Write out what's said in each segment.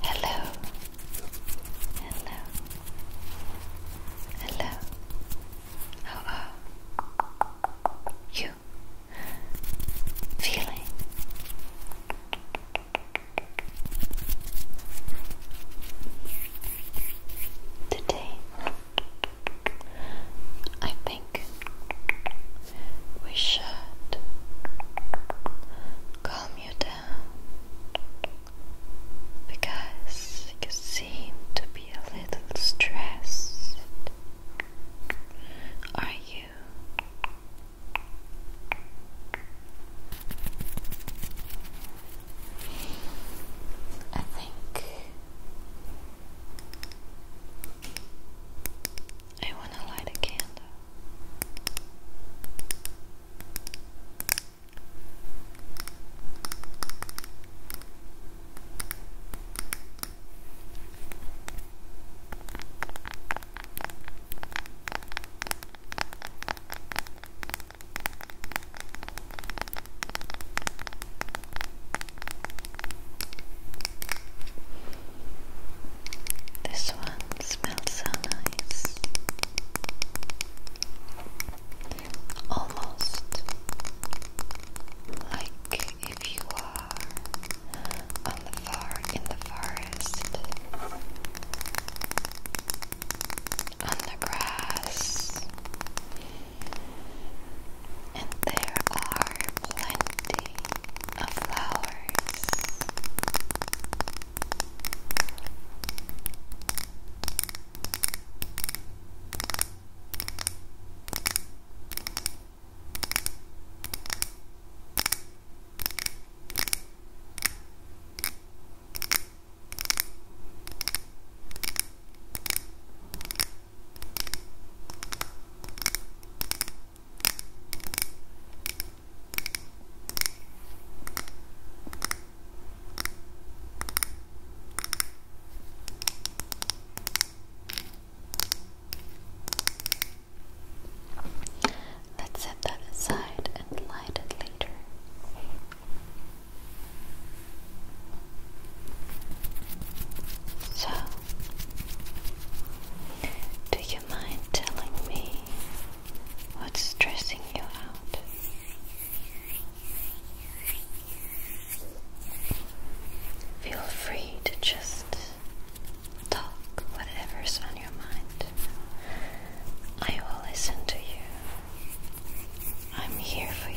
Hello. Hello. Hello. How you feeling? Today, I think we should calm you down because you seem to be a little stressed. Are you? I think I want to light a candle. This one smells so nice. Almost like if you are on the far in the forest on the grass and there are plenty of flowers. Let's set that aside and light it later. So, do mind telling me what's stressing you out? Feel free to just talk whatever's on your mind. I will listen to you. I'm here for you.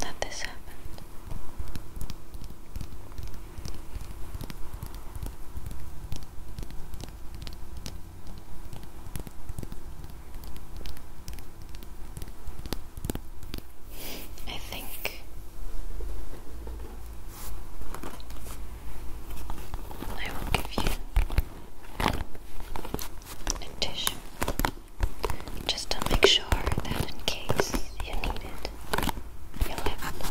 that this happened. I think I will give you a tissue just to make sure that in case you need it, you'll have it.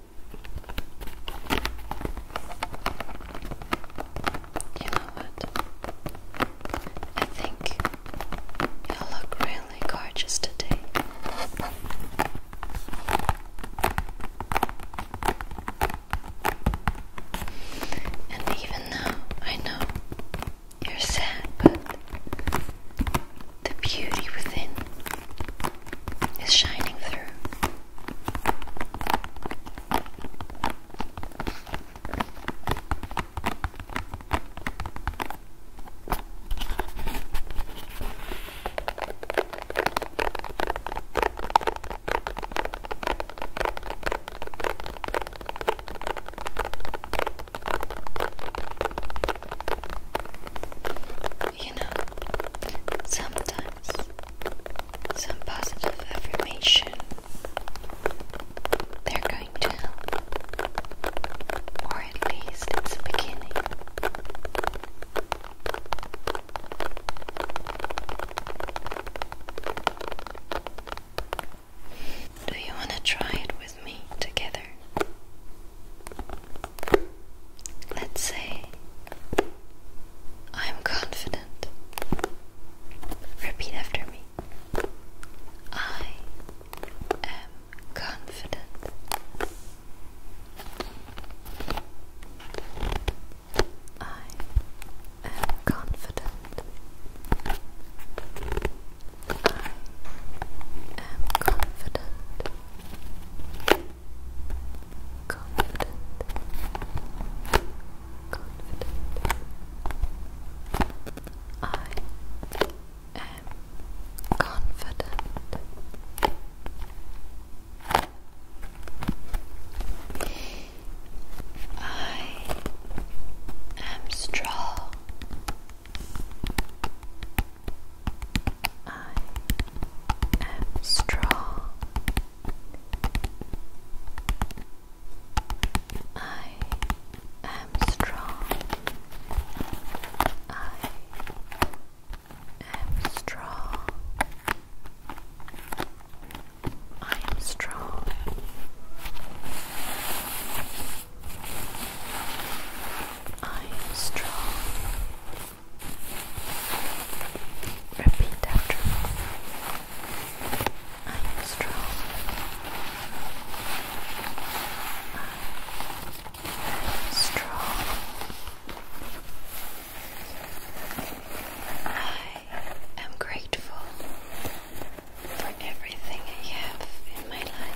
You know what? I think you look really gorgeous today. And even now, I know you're sad, but the beauty within is shining through. You know, sometimes some positive affirmation they're going to help, or at least it's a beginning. Do you want to try it with me together? Let's say, I'm confident. Repeat after me. I am confident. I am confident. I am confident confident, confident. I am confident. I am strong. I am strong. I am strong. I am strong. I am strong. I am strong. Repeat after me. I am strong. I am strong. I am grateful for everything I have in my life.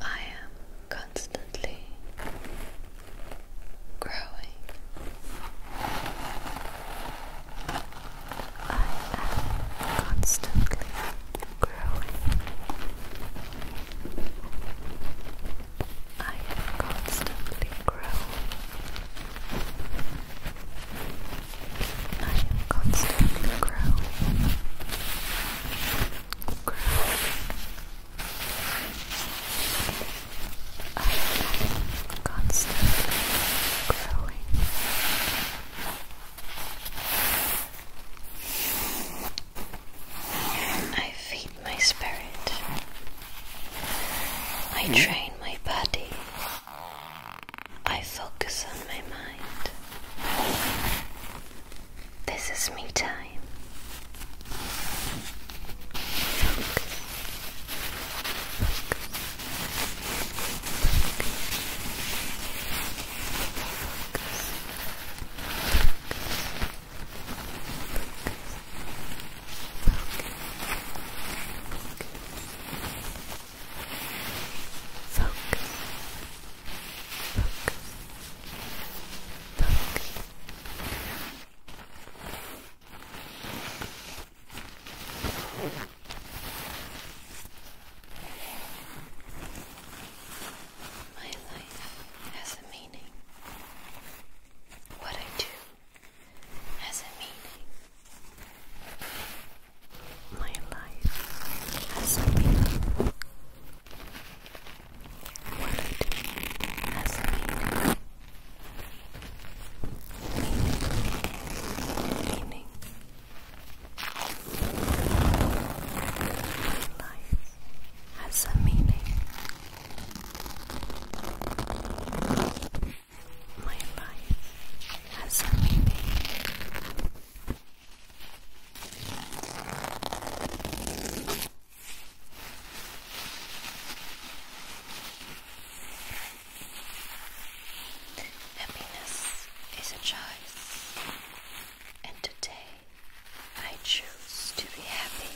I am constantly growing. I am constantly growing. I have constantly grown. I am constantly Growing. I am constantly growing. I feel my spirit. I hmm? train my body. I focus on my mind. This is me time. My life has a meaning. What I do has a meaning. My life has a meaning. Word has a Meaning. Meaning. My life has a meaning. My life has a meaning. Happiness is a choice, and today I choose to be happy.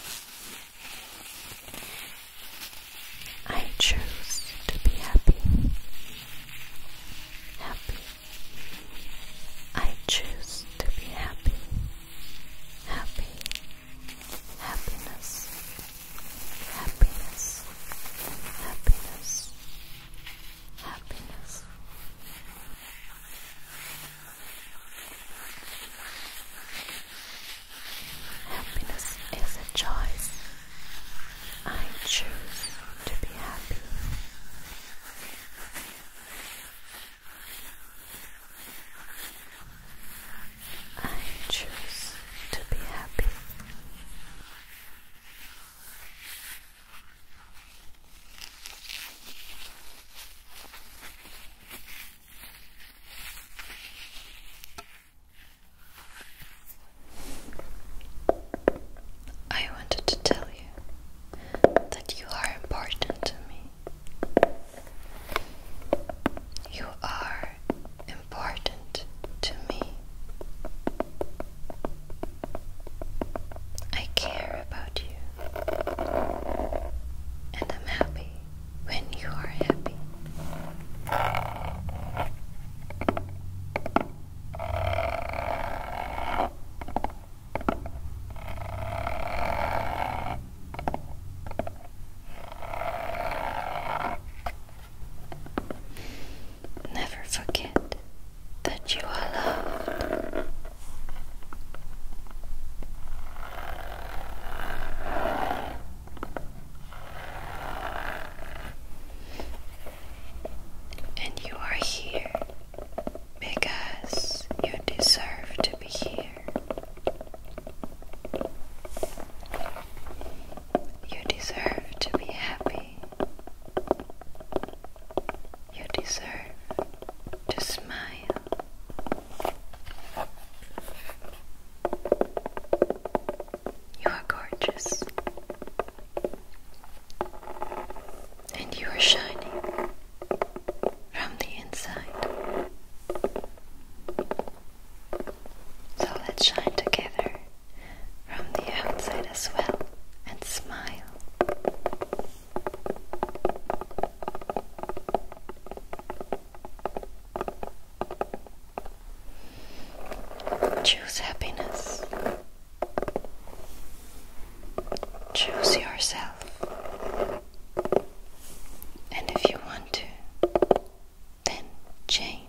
I choose to be happy. Happy. I choose to be happy. Happy. Happiness. Happiness. Happiness. Happiness. Happiness is a choice. I choose to be happy. I choose to be happy. I wanted to tell you that you are important to me. You are important to me. I care about you, and I'm happy when you are happy. Never forget that you are loved. And you are here because you deserve to be here. You deserve to be happy. You deserve to smile. You are gorgeous. And you are shining from the inside. So let's shine together from the outside as well and smile. Choose happiness. Choose yourself. And if you want to, then change.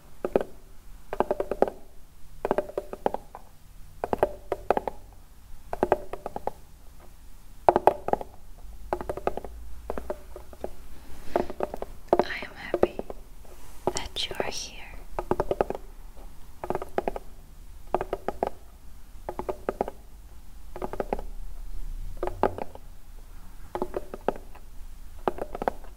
I am happy that you are here.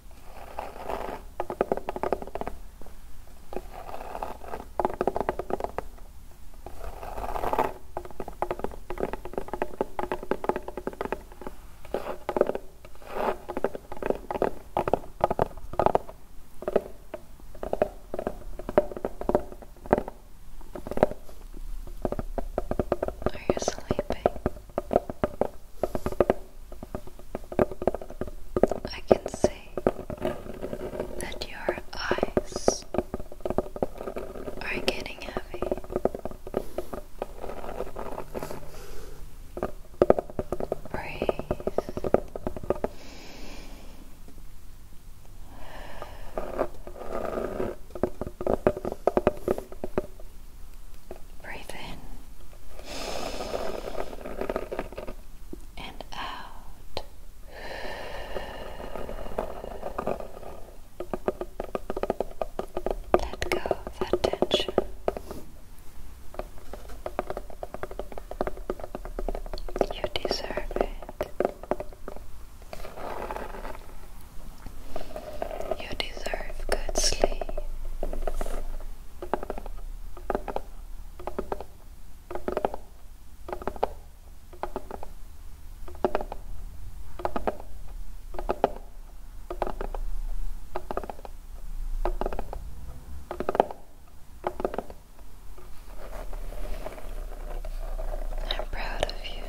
Are you sleeping? I can see that your eyes are getting heavy. Breathe. Breathe in and out. Let go of that tension. You deserve it. You deserve good sleep. I'm proud of you.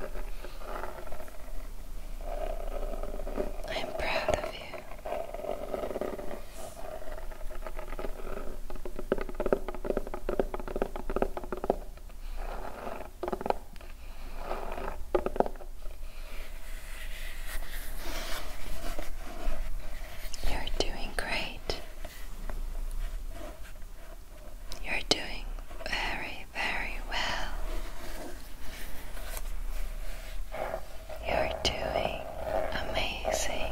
I am proud of you. You're doing great. You're doing very, very well. You're doing amazing.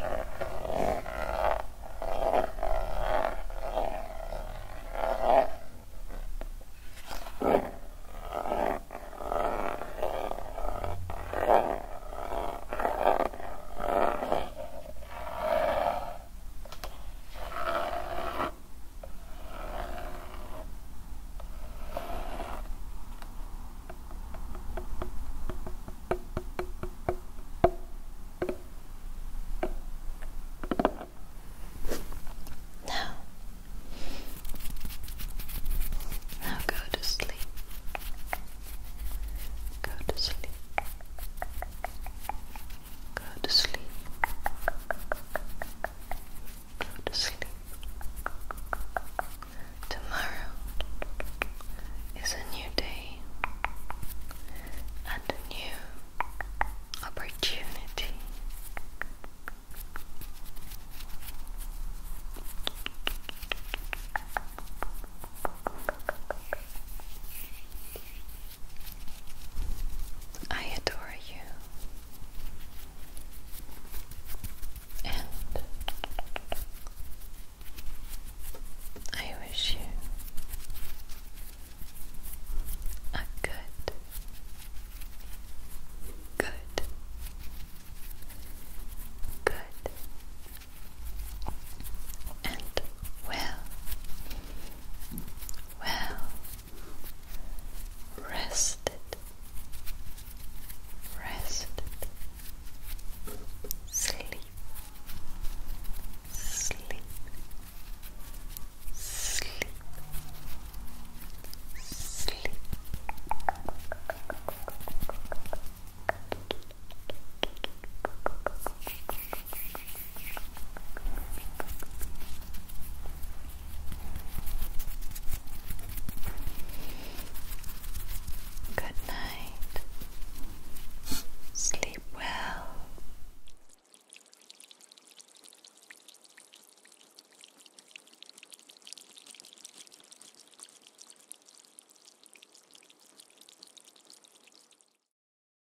Now, now go to sleep. Go to sleep. Go to sleep. Go to sleep. Tomorrow is a new day and a new opportunity. I adore you. And I wish you a good, good, good, and well well rested, rested, sleep, sleep, sleep, sleep. Good night. Sleep well.